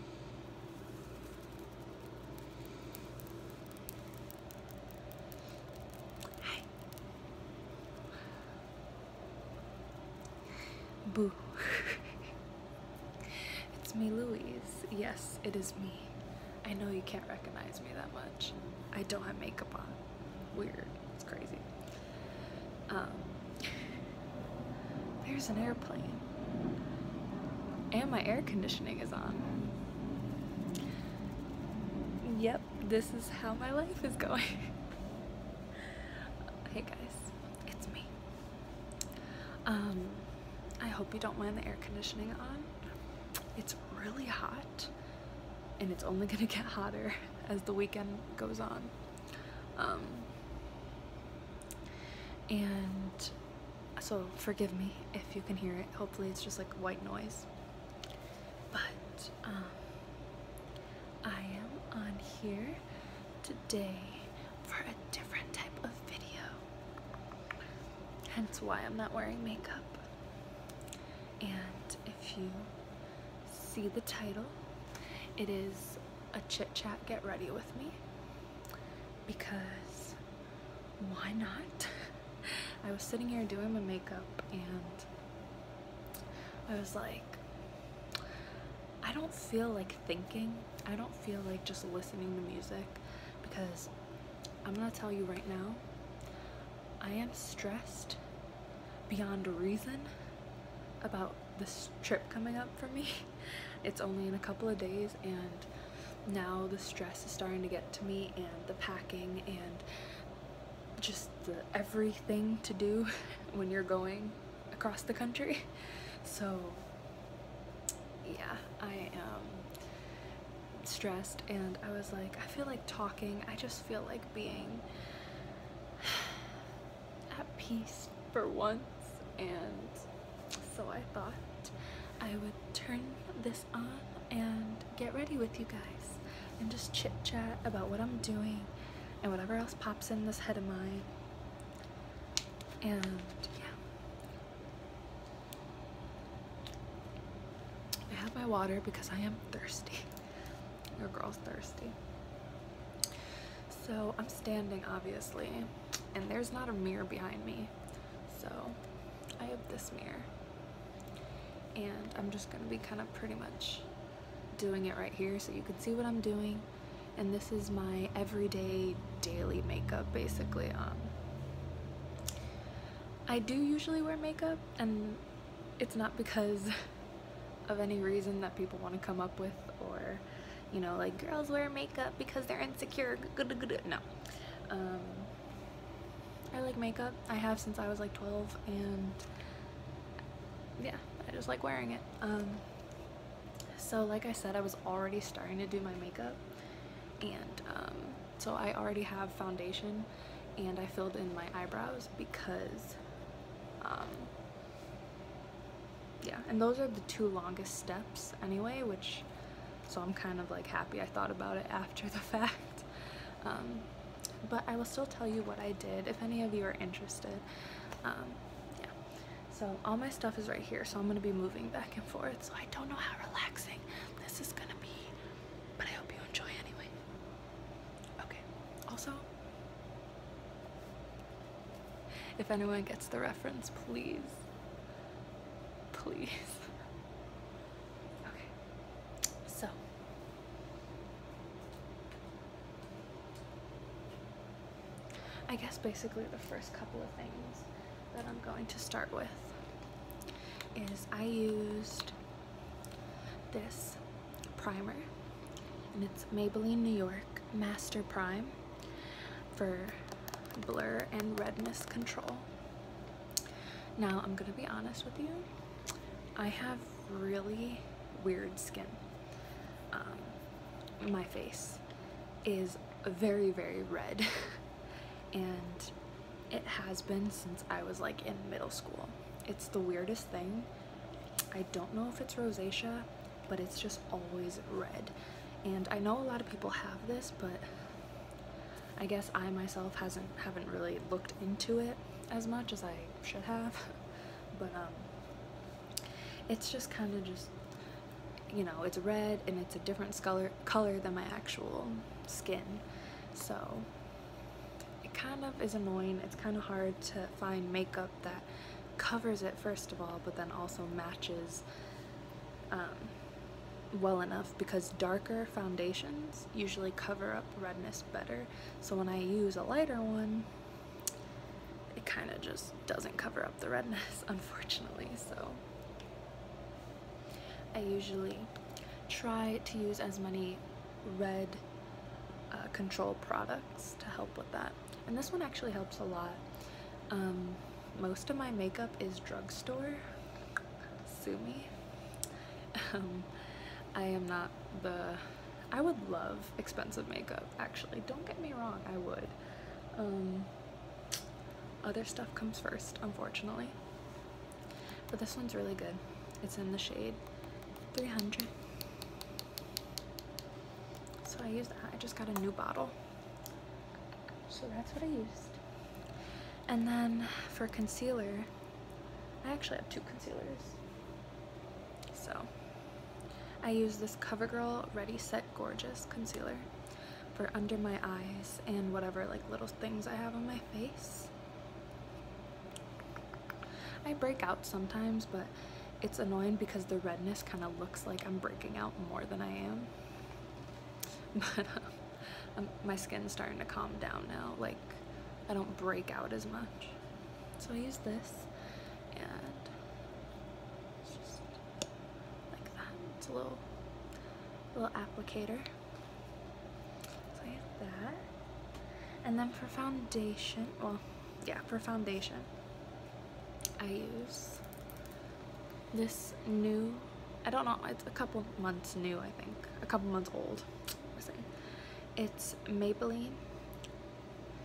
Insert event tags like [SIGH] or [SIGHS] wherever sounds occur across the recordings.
Hi. Boo. [LAUGHS] it's me, Louise. Yes, it is me. I know you can't recognize me that much. I don't have makeup on. Weird. It's crazy. Um there's an airplane. And my air conditioning is on. Yep, this is how my life is going. [LAUGHS] hey guys, it's me. Um, I hope you don't mind the air conditioning on. It's really hot and it's only gonna [LAUGHS] get hotter as the weekend goes on. Um, and so forgive me if you can hear it hopefully it's just like white noise but um I am on here today for a different type of video hence why I'm not wearing makeup and if you see the title it is a chit chat get ready with me because why not? [LAUGHS] I was sitting here doing my makeup and I was like, I don't feel like thinking. I don't feel like just listening to music because I'm gonna tell you right now, I am stressed beyond reason about this trip coming up for me. [LAUGHS] [LAUGHS] it's only in a couple of days and now the stress is starting to get to me and the packing and just everything to do [LAUGHS] when you're going across the country [LAUGHS] so yeah I am stressed and I was like I feel like talking I just feel like being [SIGHS] at peace for once and so I thought I would turn this on and get ready with you guys and just chit chat about what I'm doing and whatever else pops in this head of mine and yeah I have my water because I am thirsty [LAUGHS] your girl's thirsty so I'm standing obviously and there's not a mirror behind me. So I have this mirror and I'm just gonna be kind of pretty much doing it right here so you can see what I'm doing. And this is my everyday daily makeup basically. Um, I do usually wear makeup and it's not because [LAUGHS] of any reason that people want to come up with or you know, like girls wear makeup because they're insecure. No. Um, I like makeup. I have since I was like 12 and yeah, I just like wearing it. Um, so like I said, I was already starting to do my makeup and um, so I already have foundation and I filled in my eyebrows because yeah and those are the two longest steps anyway which so I'm kind of like happy I thought about it after the [LAUGHS] fact um, but I will still tell you what I did if any of you are interested um, yeah so all my stuff is right here so I'm gonna be moving back and forth so I don't know how relaxing this is gonna be but I hope you enjoy anyway okay also if anyone gets the reference, please. Please. [LAUGHS] Okay. So. I guess basically the first couple of things that I'm going to start with is I used this primer and it's Maybelline New York Master Prime for blur and redness control. Now, I'm gonna be honest with you, I have really weird skin. Um, my face is very, very red, [LAUGHS] and it has been since I was like in middle school. It's the weirdest thing. I don't know if it's rosacea, but it's just always red. And I know a lot of people have this, but I guess I myself hasn't haven't really looked into it as much as I should have. [LAUGHS] but um, it's just kind of just, you know, it's red and it's a different color, color than my actual skin. So it kind of is annoying. It's kind of hard to find makeup that covers it first of all but then also matches um, well enough because darker foundations usually cover up redness better so when I use a lighter one it kind of just doesn't cover up the redness [LAUGHS] unfortunately so I usually try to use as many red uh, control products to help with that and this one actually helps a lot um, most of my makeup is drugstore sue me um, I am not the I would love expensive makeup actually don't get me wrong I would um, other stuff comes first unfortunately but this one's really good it's in the shade 300 so I used that. I just got a new bottle. So that's what I used. And then for concealer, I actually have two concealers. So I use this CoverGirl Ready Set Gorgeous concealer for under my eyes and whatever like little things I have on my face. I break out sometimes, but it's annoying because the redness kind of looks like I'm breaking out more than I am. [LAUGHS] But um, um, my skin's starting to calm down now. Like, I don't break out as much. So I use this and like that. It's a little, little applicator. So I use that. And then for foundation, well, yeah, for foundation, I use this new, I don't know, it's a couple months new, I think. A couple months old, It's Maybelline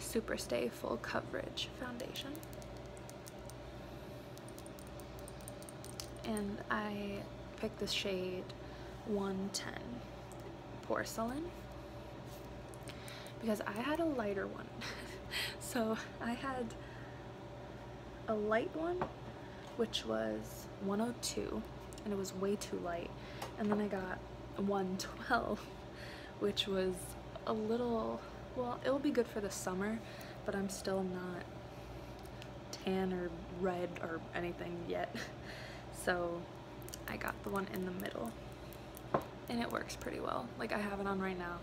Superstay Full Coverage Foundation. And I picked the shade 110 Porcelain because I had a lighter one [LAUGHS] so I had a light one, which was 102, and it was way too light. And then I got 112, [LAUGHS] which was a little, well, it'll be good for the summer, but I'm still not tan or red or anything yet. [LAUGHS] So I got the one in the middle and it works pretty well. Like I have it on right now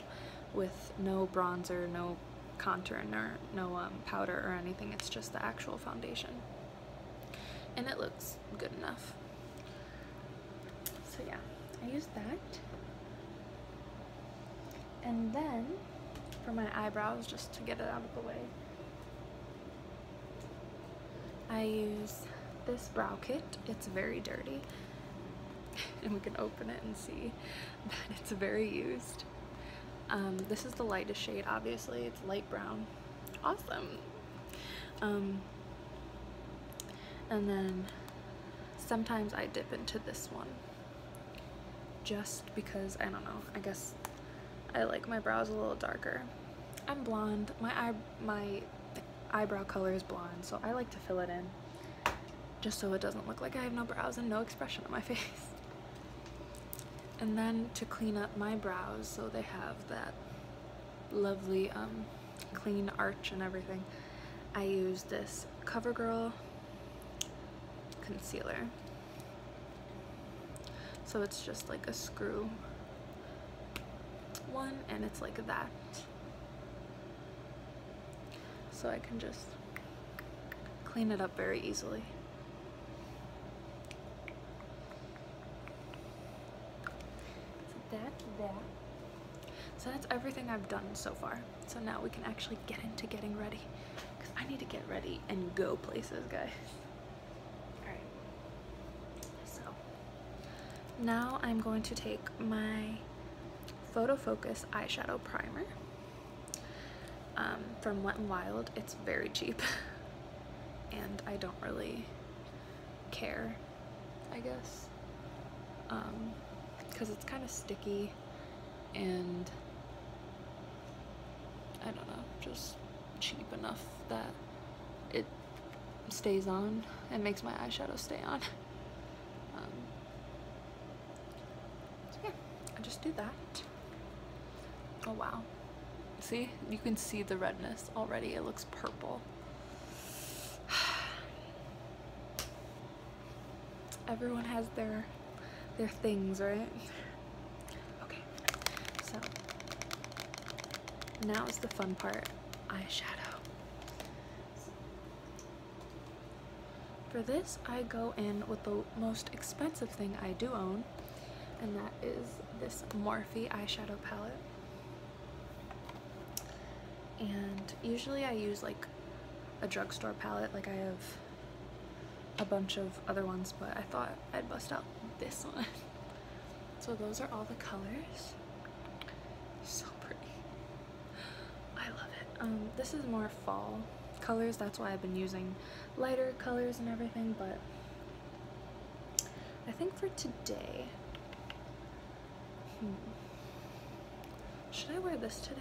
with no bronzer, no contour, or no um, powder or anything. It's just the actual foundation. And it looks good enough. So yeah, I use that. And then for my eyebrows, just to get it out of the way, I use this brow kit. It's very dirty. [LAUGHS] And we can open it and see [LAUGHS] that it's very used. Um, this is the lightest shade, obviously. It's light brown. Awesome. Um, and then sometimes I dip into this one. Just because, I don't know, I guess I like my brows a little darker. I'm blonde. My eye my eyebrow color is blonde, so I like to fill it in just so it doesn't look like I have no brows and no expression on my [LAUGHS] face. And then to clean up my brows so they have that lovely um, clean arch and everything, I use this CoverGirl concealer. So it's just like a screw one and it's like that so I can just clean it up very easily. So that's that. So that's everything I've done so far. So now we can actually get into getting ready. Because I need to get ready and go places, guys. Alright. So. Now I'm going to take my Photo Focus eyeshadow primer um, from Wet n Wild. It's very cheap [LAUGHS] and I don't really care, I guess, because um, it's kind of sticky and I don't know, just cheap enough that it stays on and makes my eyeshadow stay on. Um, yeah, I just do that. Oh wow. See, you can see the redness already. It looks purple. [SIGHS] Everyone has their their things, right? Okay, so now is the fun part eyeshadow. For this, I go in with the most expensive thing I do own, and that is this Morphe eyeshadow palette. And usually I use like a drugstore palette, like I have a bunch of other ones, but I thought I'd bust out this [LAUGHS] one. So those are all the colors. So pretty. I love it. Um, this is more fall colors. That's why I've been using lighter colors and everything, but I think for today, hmm, should I wear this today?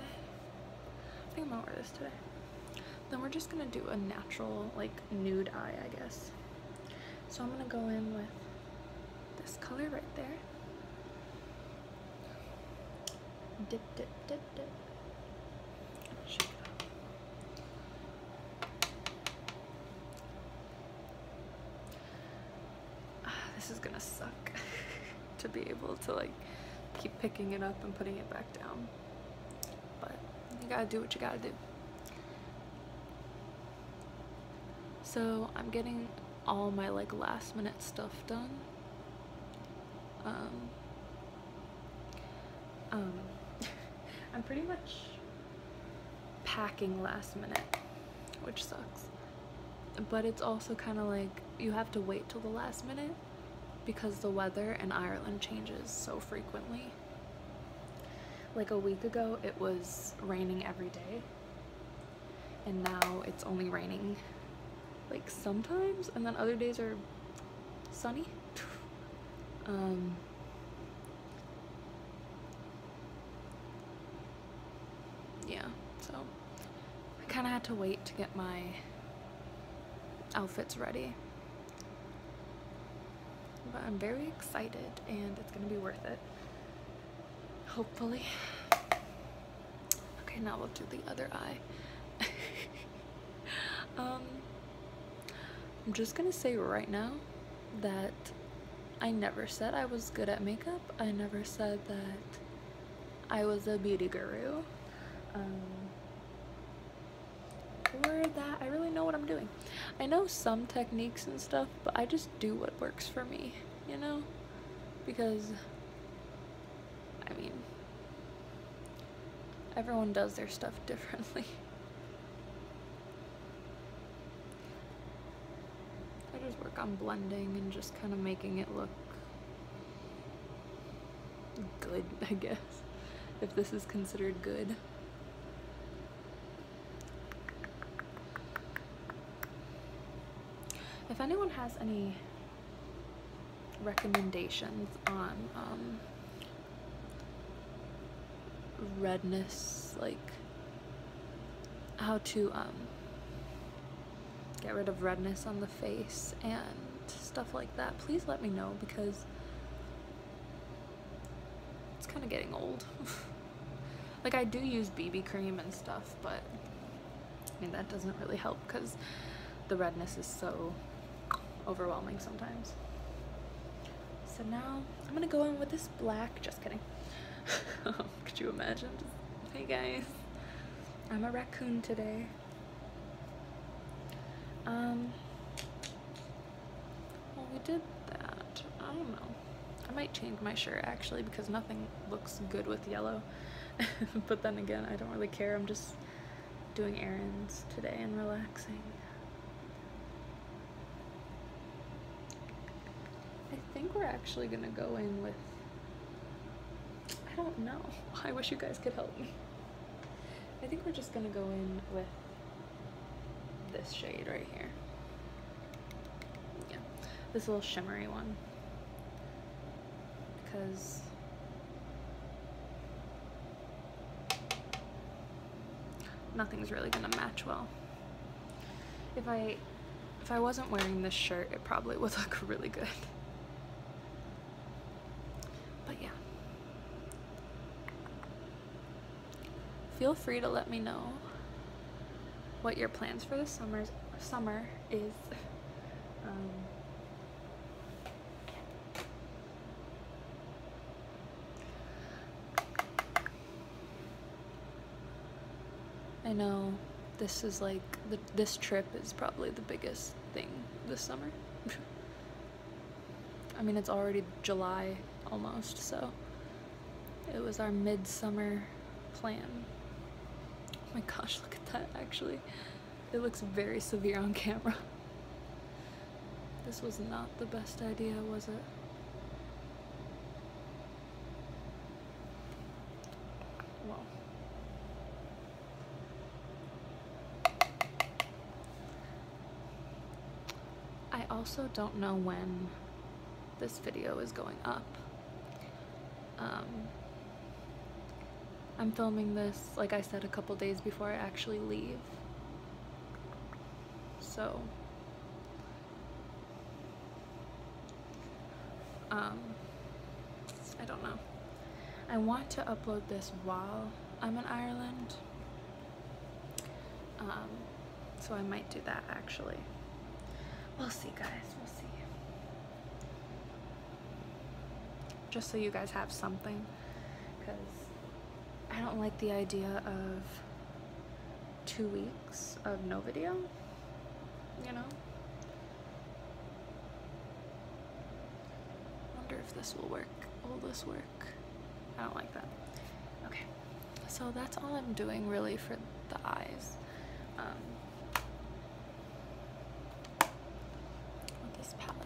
I think I'm gonna wear this today. Then we're just gonna do a natural, like, nude eye, I guess. So I'm gonna go in with this color right there. Dip, dip, dip, dip. Shake it up. Uh, this is gonna suck [LAUGHS] to be able to like keep picking it up and putting it back down. But you gotta do what you gotta do. So I'm getting all my like last minute stuff done. Um, um, [LAUGHS] I'm pretty much packing last minute, which sucks. But it's also kind of like you have to wait till the last minute because the weather in Ireland changes so frequently like a week ago, it was raining every day, and now it's only raining like sometimes, and then other days are sunny. [LAUGHS] Um, yeah, so I kind of had to wait to get my outfits ready. But I'm very excited and it's gonna be worth it. Hopefully. Okay, now we'll do the other eye. [LAUGHS] um, I'm just gonna say right now that I never said I was good at makeup. I never said that I was a beauty guru. Um, or that I really know what I'm doing. I know some techniques and stuff, but I just do what works for me, you know? Because, I mean, everyone does their stuff [LAUGHS] differently. I just work on blending and just kind of making it look good, [LAUGHS] I guess, if this is considered good. If anyone has any recommendations on um, redness, like how to um, get rid of redness on the face and stuff like that, please let me know because it's kind of getting old. [LAUGHS] like I do use BB cream and stuff, but I mean that doesn't really help because the redness is so overwhelming sometimes. So now I'm gonna go in with this black, just kidding. [LAUGHS] Could you imagine? hey guys, I'm a raccoon today. Um, well, we did that. I don't know. I might change my shirt actually because nothing looks good with yellow. [LAUGHS] but then again, I don't really care. I'm just doing errands today and relaxing. I think we're actually gonna go in with, I don't know. [LAUGHS] I wish you guys could help me. I think we're just gonna go in with this shade right here. Yeah, this little shimmery one. Because nothing's really gonna match well. If I if I wasn't wearing this shirt, it probably would [LAUGHS] look really good. But yeah feel free to let me know what your plans for the summer summer is. Um, I know this is like, this trip is probably the biggest thing this summer. [LAUGHS] I mean, it's already July almost, so it was our midsummer plan. Oh my gosh, look at that actually. It looks very severe on camera. This was not the best idea, was it? Wow. I also don't know when this video is going up. Um, I'm filming this, like I said, a couple days before I actually leave. So, um, I don't know. I want to upload this while I'm in Ireland, um, so I might do that actually. We'll see guys, we'll see. Just so you guys have something because I don't like the idea of two weeks of no video, you know? wonder if this will work. Will this work? I don't like that. Okay, so that's all I'm doing really for the eyes. Um, this palette,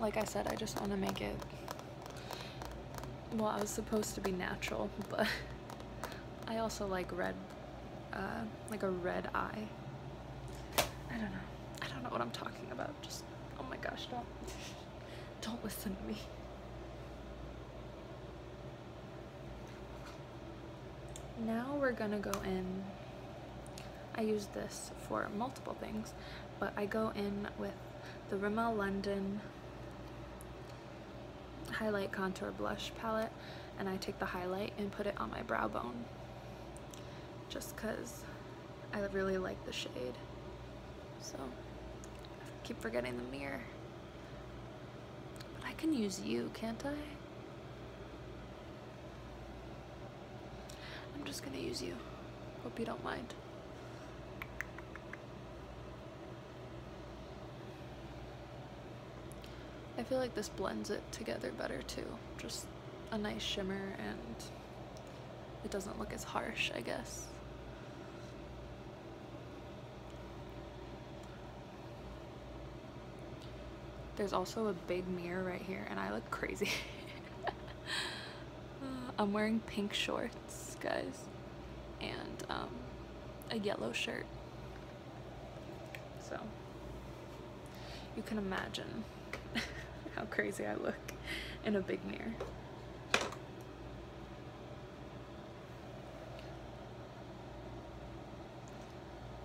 like I said, I just want to make it. Well, I was supposed to be natural, [LAUGHS] but I also like red, uh, like a red eye. I don't know. I don't know what I'm talking about. Just, oh my gosh, do not [LAUGHS] Don't listen to me. Now we're gonna go in. I use this for multiple things, but I go in with the Rimmel London Highlight Contour Blush palette, and I take the highlight and put it on my brow bone. Just cause I really like the shade. So keep forgetting the mirror. But I can use you, can't I? I'm just gonna use you. Hope you don't mind. I feel like this blends it together better too. Just a nice shimmer and it doesn't look as harsh, I guess. There's also a big mirror right here and I look crazy. [LAUGHS] Uh, I'm wearing pink shorts, guys, and um, a yellow shirt. So you can imagine [LAUGHS] how crazy I look in a big mirror.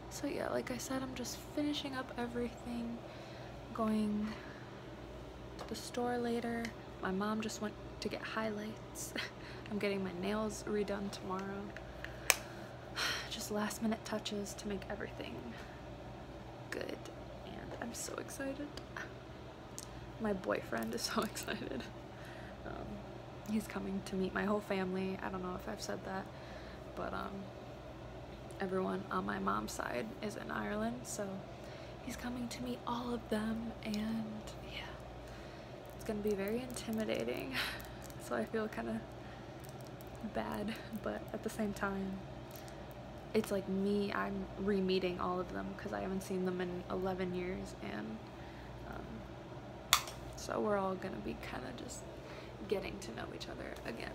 So yeah, like I said, I'm just finishing up everything, going to the store later. My mom just went to get highlights. [LAUGHS] I'm getting my nails redone tomorrow. [SIGHS] Just last minute touches to make everything good and I'm so excited. My boyfriend is [LAUGHS] so excited. Um, he's coming to meet my whole family. I don't know if I've said that, but um, everyone on my mom's side is in Ireland, so he's coming to meet all of them and yeah, it's gonna be very intimidating. [LAUGHS] so I feel kind of bad, but at the same time, it's like me, I'm re-meeting all of them because I haven't seen them in 11 years and um, so we're all gonna be kind of just getting to know each other again.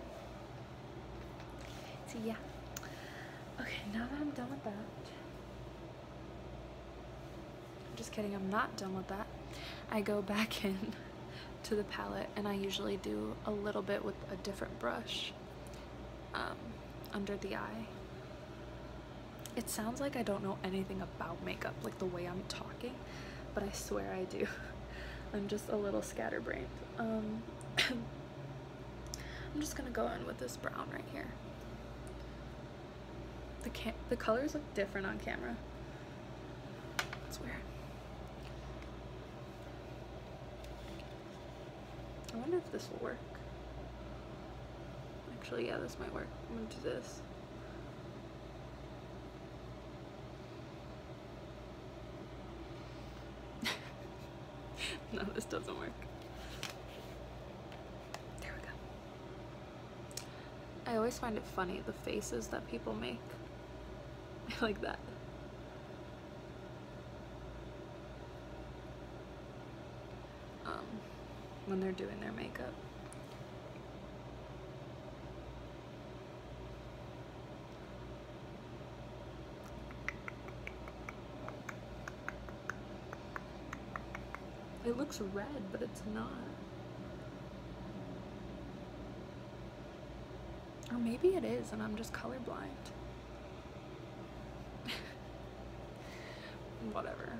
So yeah. Okay, now that I'm done with that, I'm just kidding, I'm not done with that. I go back [LAUGHS] in to the palette and I usually do a little bit with a different brush um, under the eye. It sounds like I don't know anything about makeup, like the way I'm talking, but I swear I do. [LAUGHS] I'm just a little scatterbrained. Um, [COUGHS] I'm just gonna go in with this brown right here. The, the colors look different on camera. It's weird. I wonder if this will work. Actually, yeah, this might work. I'm gonna do this. [LAUGHS] no, this doesn't work. There we go. I always find it funny, the faces that people make. [LAUGHS] I like that. Um, when they're doing their makeup. It looks red, but it's not. Or maybe it is and I'm just colorblind. [LAUGHS] Whatever.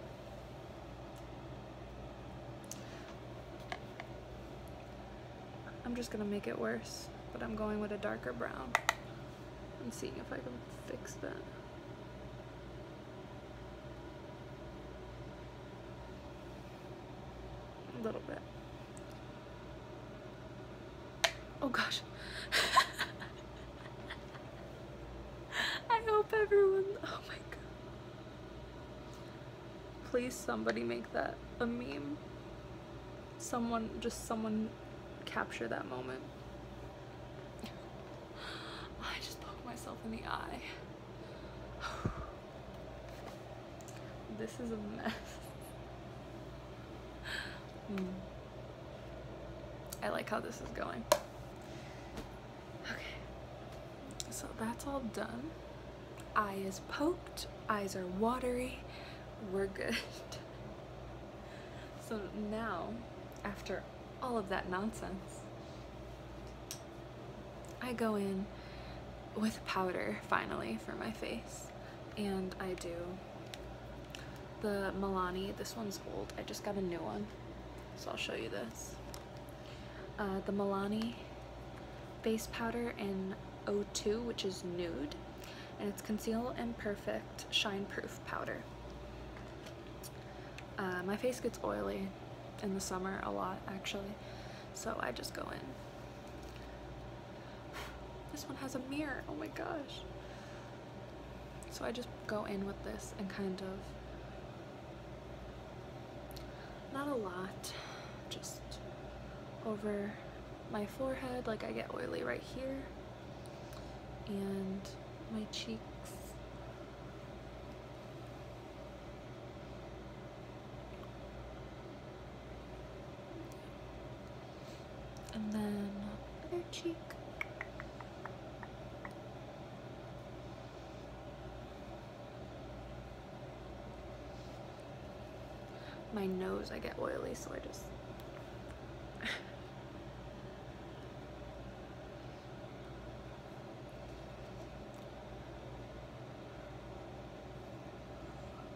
I'm just gonna make it worse, but I'm going with a darker brown and seeing if I can fix that. A little bit. Oh gosh. I hope everyone, oh my god. Please somebody make that a meme. Someone, just someone capture that moment. I just poke myself in the eye. This is a mess. Hmm. I like how this is going. Okay, so that's all done. Eye is poked, eyes are watery, we're good. [LAUGHS] so now, after all of that nonsense, I go in with powder finally for my face and I do the Milani this one's old I just got a new one so I'll show you this uh, the Milani base powder in 0 02 which is nude and it's conceal and perfect shine proof powder uh, my face gets oily in the summer a lot actually so I just go in this one has a mirror, oh my gosh. So I just go in with this and kind of, not a lot, just over my forehead, like I get oily right here, and my cheeks and then other cheek. My nose, I get oily, so I just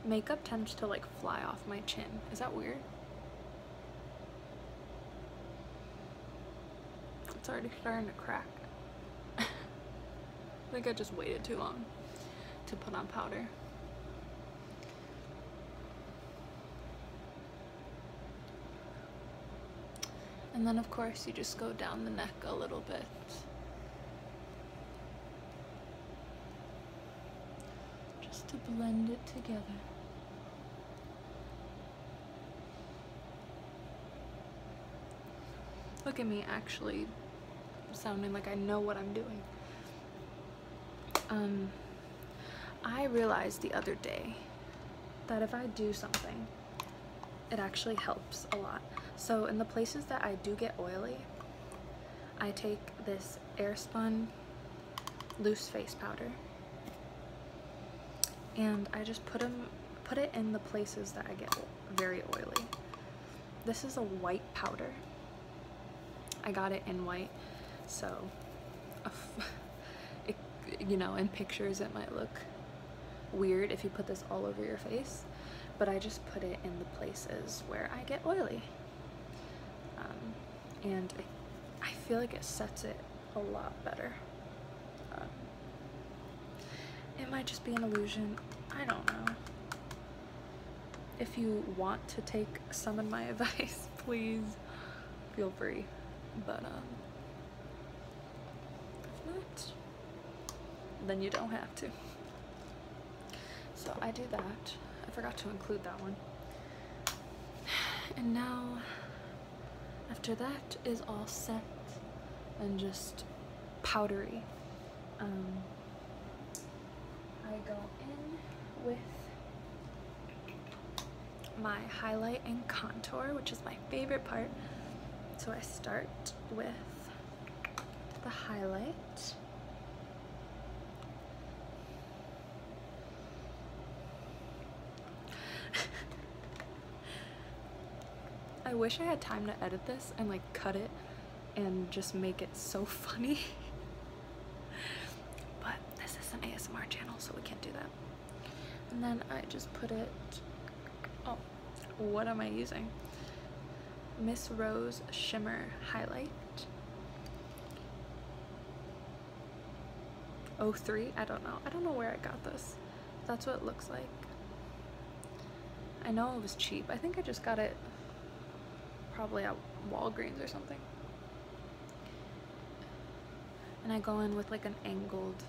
Makeup tends to like fly off my chin. Is that weird? It's already starting to crack. [LAUGHS] I think I just waited too long to put on powder. And then of course you just go down the neck a little bit just to blend it together. Look at me actually sounding like I know what I'm doing. Um, I realized the other day that if I do something, it actually helps a lot. So in the places that I do get oily, I take this air spun loose face powder and I just put them put it in the places that I get very oily. This is a white powder. I got it in white, so [LAUGHS] you know, in pictures it might look weird if you put this all over your face but I just put it in the places where I get oily. Um, and I feel like it sets it a lot better. Um, it might just be an illusion, I don't know. If you want to take some of my [LAUGHS] advice, please feel free. But um, then you don't have to. So I do that. I forgot to include that one. And now, after that is all set and just powdery. Um, I go in with my highlight and contour, which is my favorite part. So I start with the highlight. I wish I had time to edit this and like cut it and just make it so [LAUGHS] funny. but this is an ASMR channel, so we can't do that. And then I just put it, oh, what am I using? Miss Rose Shimmer Highlight. O oh, three, I don't know. I don't know where I got this. That's what it looks like. I know it was cheap. I think I just got it probably at Walgreens or something. And I go in with like an angled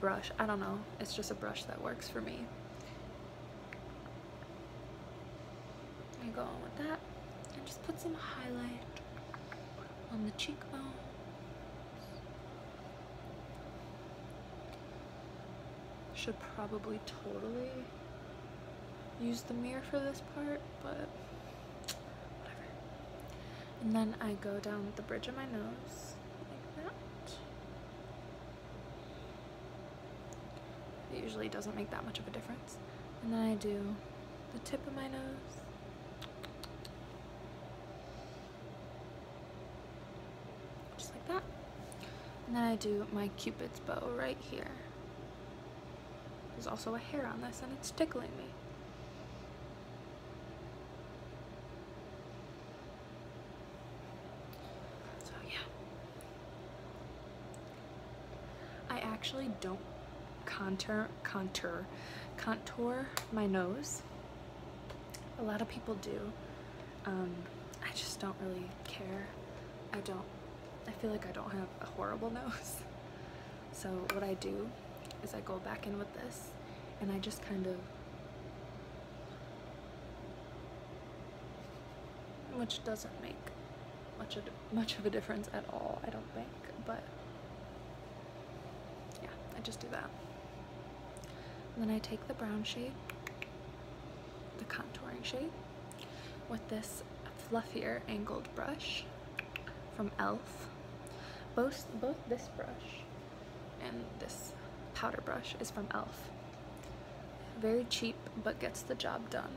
brush. I don't know. It's just a brush that works for me. I go on with that and just put some highlight on the cheekbone. Should probably totally use the mirror for this part, but whatever. And then I go down with the bridge of my nose like that. It usually doesn't make that much of a difference. And then I do the tip of my nose. Just like that. And then I do my cupid's bow right here. There's also a hair on this and it's tickling me. So yeah. I actually don't contour contour contour my nose. A lot of people do. Um, I just don't really care. I don't I feel like I don't have a horrible [LAUGHS] nose. So what I do is I go back in with this and I just kind of which doesn't make much of, much of a difference at all, I don't think, but yeah, I just do that. then I take the brown shade, the contouring shade, with this fluffier angled brush from e.l.f. Both, both this brush and this powder brush is from e.l.f. Very cheap, but gets the job done.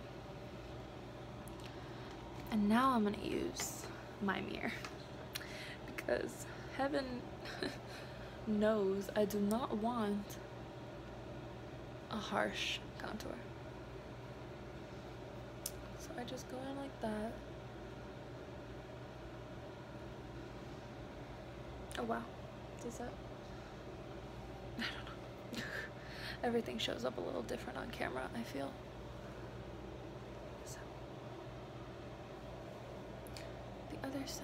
And now I'm gonna use my mirror because heaven [LAUGHS] knows I do not want a harsh contour. So I just go in like that. Oh wow, does that I don't know. [LAUGHS] Everything shows up a little different on camera, I feel. The other side.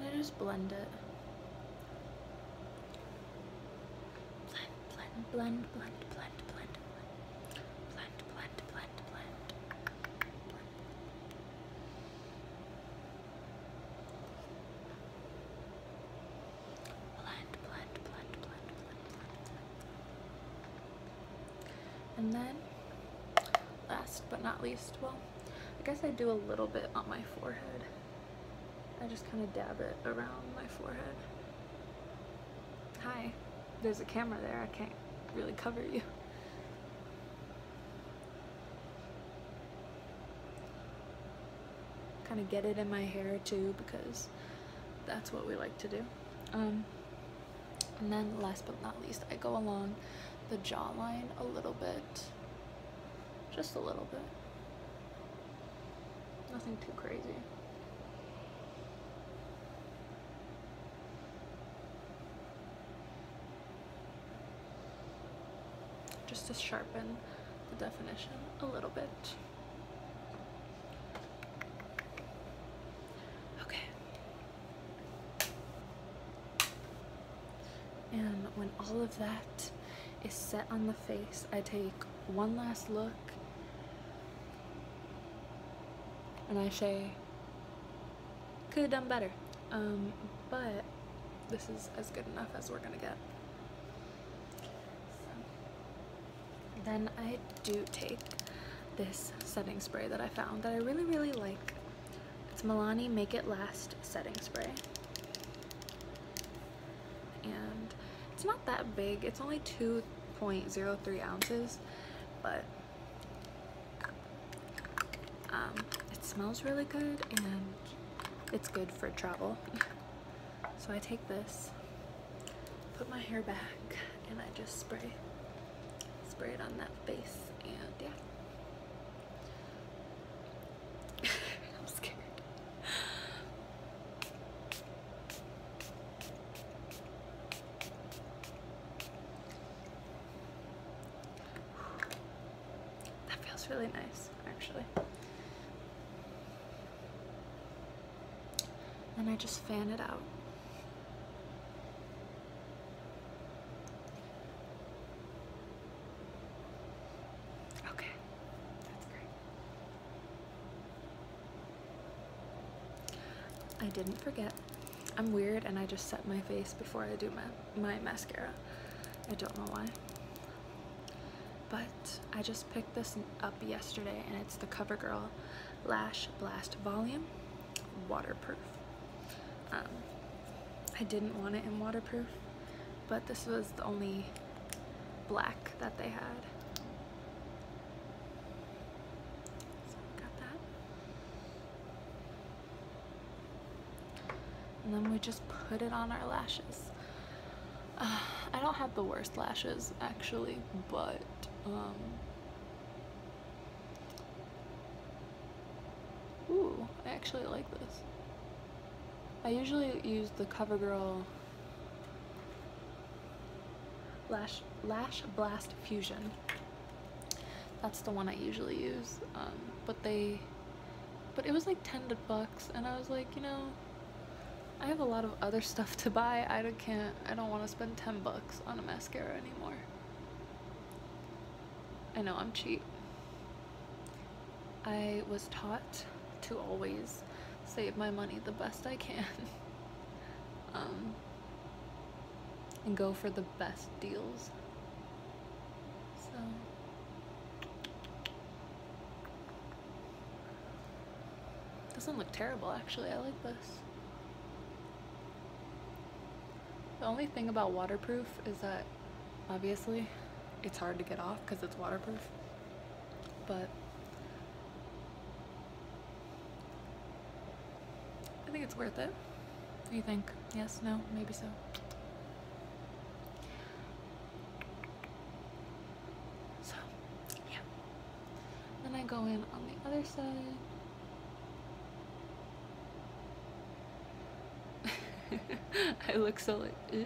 And I just blend it. blend, blend, blend, blend, blend, blend, blend, blend, blend, blend, blend, Blend, blend, blend, blend, And then, last but not least, well, I guess I do a little bit on my forehead. I just kind of dab it around my forehead. Hi there's a camera there. I can't really cover you. Kind of get it in my hair too because that's what we like to do. Um, and then last but not least, I go along the jawline a little bit. Just a little bit. Nothing too crazy just to sharpen the definition a little bit. Okay. And when all of that is set on the face, I take one last look and I say, could have done better. Um, but this is as good enough as we're gonna get. Then I do take this setting spray that I found that I really, really like. It's Milani Make It Last setting spray. And it's not that big. It's only 2.03 ounces, but um, it smells really good and it's good for travel. [LAUGHS] So I take this, put my hair back, and I just spray, spray it on that face, and yeah. [LAUGHS] I'm scared. That feels really nice, actually. And I just fan it out. Okay, that's great. I didn't forget. I'm weird and I just set my face before I do my, my mascara. I don't know why. But I just picked this up yesterday and it's the CoverGirl Lash Blast Volume Waterproof. Um, I didn't want it in waterproof, but this was the only black that they had. And then we just put it on our lashes. [SIGHS] I don't have the worst lashes actually, but um, Ooh, I actually like this. I usually use the CoverGirl Lash, Lash Blast Fusion that's the one I usually use um, but they but it was like 10 bucks and I was like you know I have a lot of other [LAUGHS] stuff to buy I don't, can't I don't want to spend 10 bucks on a mascara anymore I know I'm cheap I was taught to always save my money the best I can [LAUGHS] um, and go for the best deals. So. Doesn't look terrible actually, I like this. The only thing about waterproof is that obviously it's hard to get off because it's waterproof, but I think it's worth it. do you think? Yes, no, maybe so. So, yeah. Then I go in on the other side. [LAUGHS] I look so like, I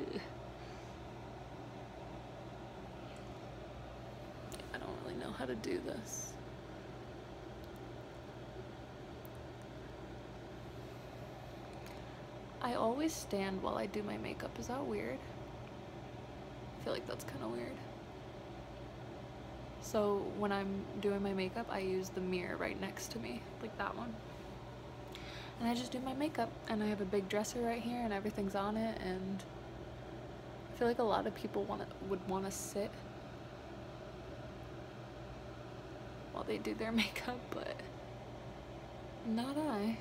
don't really know how to do this. I always stand while I do my makeup. Is that weird? I feel like that's kind of weird. So when I'm doing my makeup, I use the mirror right next to me, like that one. And I just do my makeup and I have a big dresser right here and everything's on it and I feel like a lot of people want it would want to sit while they do their [LAUGHS] makeup, but not I.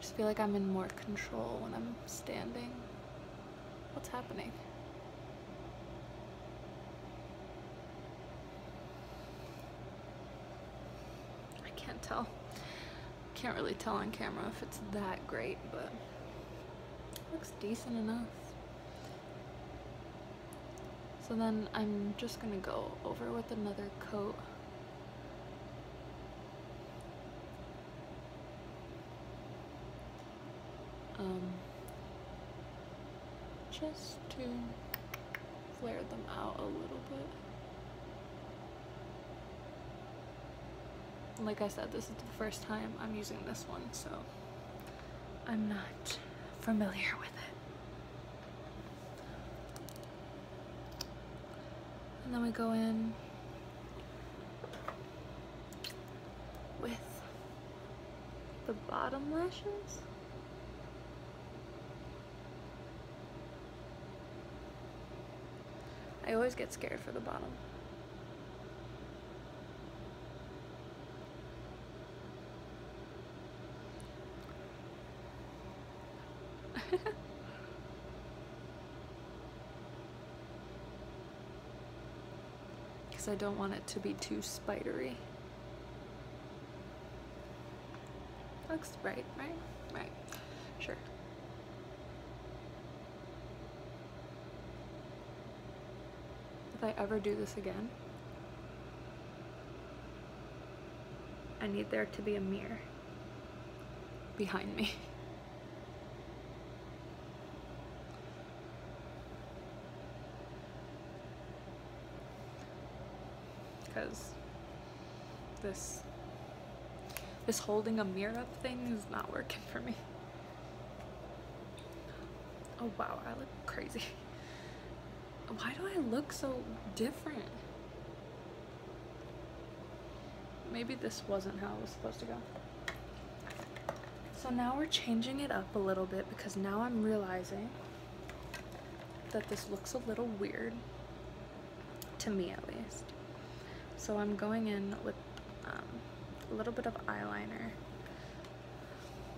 just feel like I'm in more control when I'm standing. What's happening? I can't tell. Can't really tell on camera if it's that great, but looks decent enough. So then I'm just gonna go over with another coat. Um, just to flare them out a little bit like I said, this is the first time I'm using this one, so I'm not familiar with it. And then we go in with the bottom lashes. I always get scared for the bottom. Because [LAUGHS] I don't want it to be too spidery. Looks right, right? Right. Sure. If I ever do this again, I need there to be a mirror behind me. Because [LAUGHS] This this holding a mirror up thing is not working for me. Oh wow, I look crazy. Why do I look so different? Maybe this wasn't how it was supposed to go. So now we're changing it up a little bit because now I'm realizing that this looks a little weird to me at least. So I'm going in with um, a little bit of eyeliner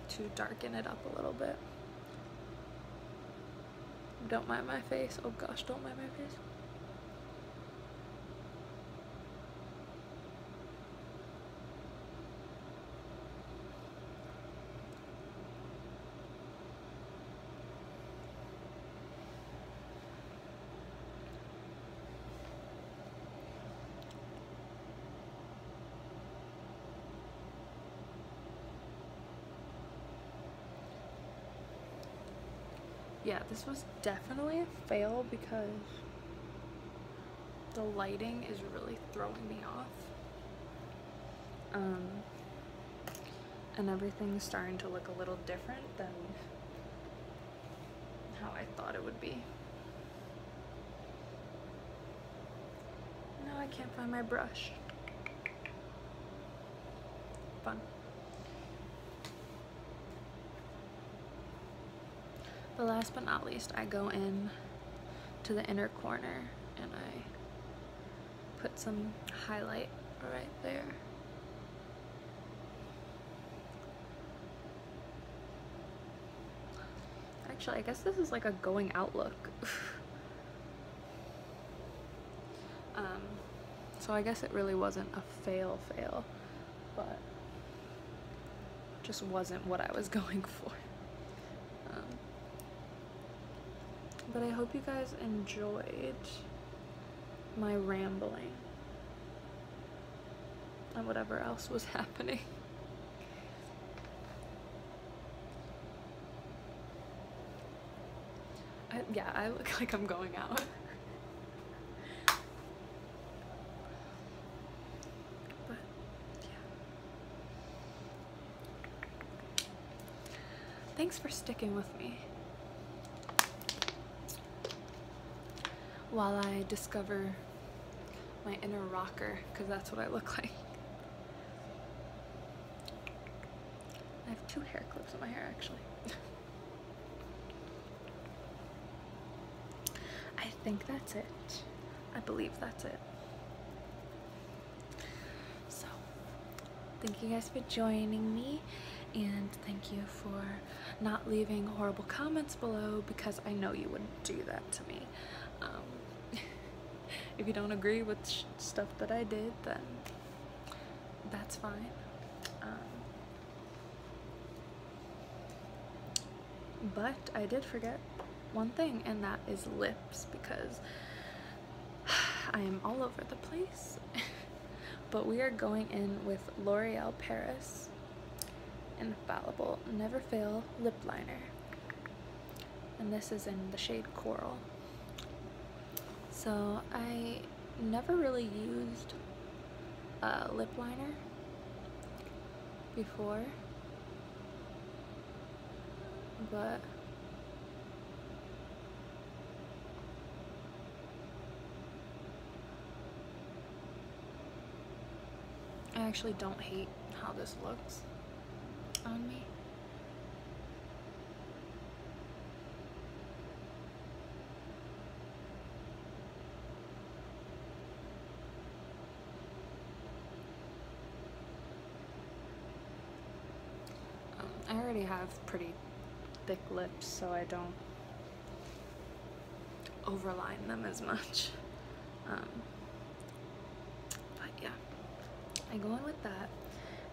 to darken it up a little bit. Don't mind my face. Oh gosh, don't mind my face yeah, this was definitely a fail because the lighting is really throwing me off. Um, and everything's starting to look a little different than how I thought it would be. Now I can't find my brush. Fun. But last but not least, I go in to the inner corner and I put some highlight right there. Actually, I guess this is like a going out look. [LAUGHS] um, so I guess it really wasn't a fail fail, but just wasn't what I was [LAUGHS] going for. Um, but I hope you guys enjoyed my rambling and whatever else was [LAUGHS] happening. yeah, I look like I'm going out. but, yeah. Thanks for sticking with me. While I discover my inner rocker, because that's what I look like. I have two hair clips in my hair actually. [LAUGHS] I think that's it. I believe that's it. So, Thank you guys for joining me and thank you for not leaving horrible comments below because I know you wouldn't do that to me. Um, [LAUGHS] if you don't agree with stuff that I did, then that's fine. Um, but I did forget one thing and that is lips because [SIGHS] I am all over the place. [LAUGHS] but we are going in with L'Oreal Paris Infallible Never Fail Lip Liner. And this is in the shade Coral. So I never really used a lip liner before. But I actually don't hate how this looks on me. Um, I already have pretty thick lips so I don't overline them as much. Um, but yeah, I go in with that.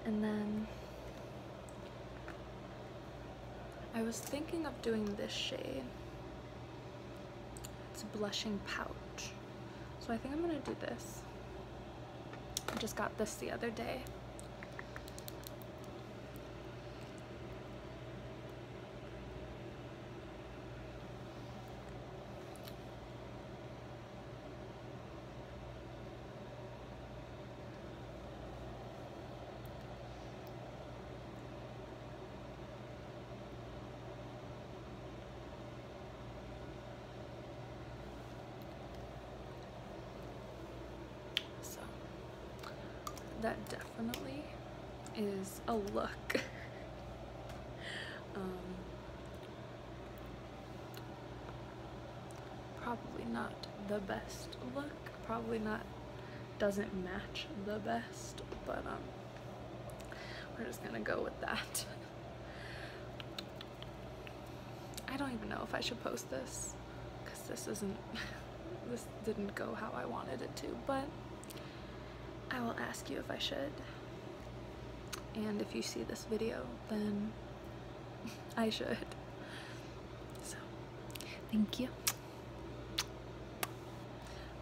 And then I was thinking of doing this shade. It's a blushing pouch. So I think I'm gonna do this. I just got this the other day. So that definitely is a look. [LAUGHS] Um, probably not the best look. Probably not doesn't match the best, but um, we're just gonna go with that. [LAUGHS] I don't even know if I should post this because this isn't [LAUGHS] this didn't go how I wanted it to but I will ask you if I should and if you see this video then [LAUGHS] I should so thank you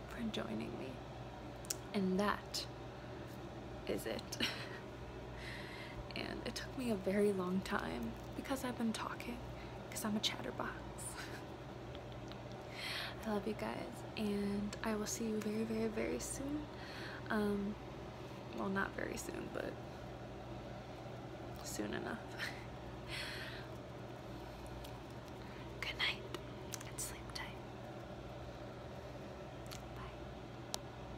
for joining me and that is it [LAUGHS] And it took me a very long time because I've been talking, because I'm a chatterbox. [LAUGHS] I love you guys, and I will see you very, very, very soon. Um, well, not very soon, but soon enough. [LAUGHS] Good night and sleep tight. Bye.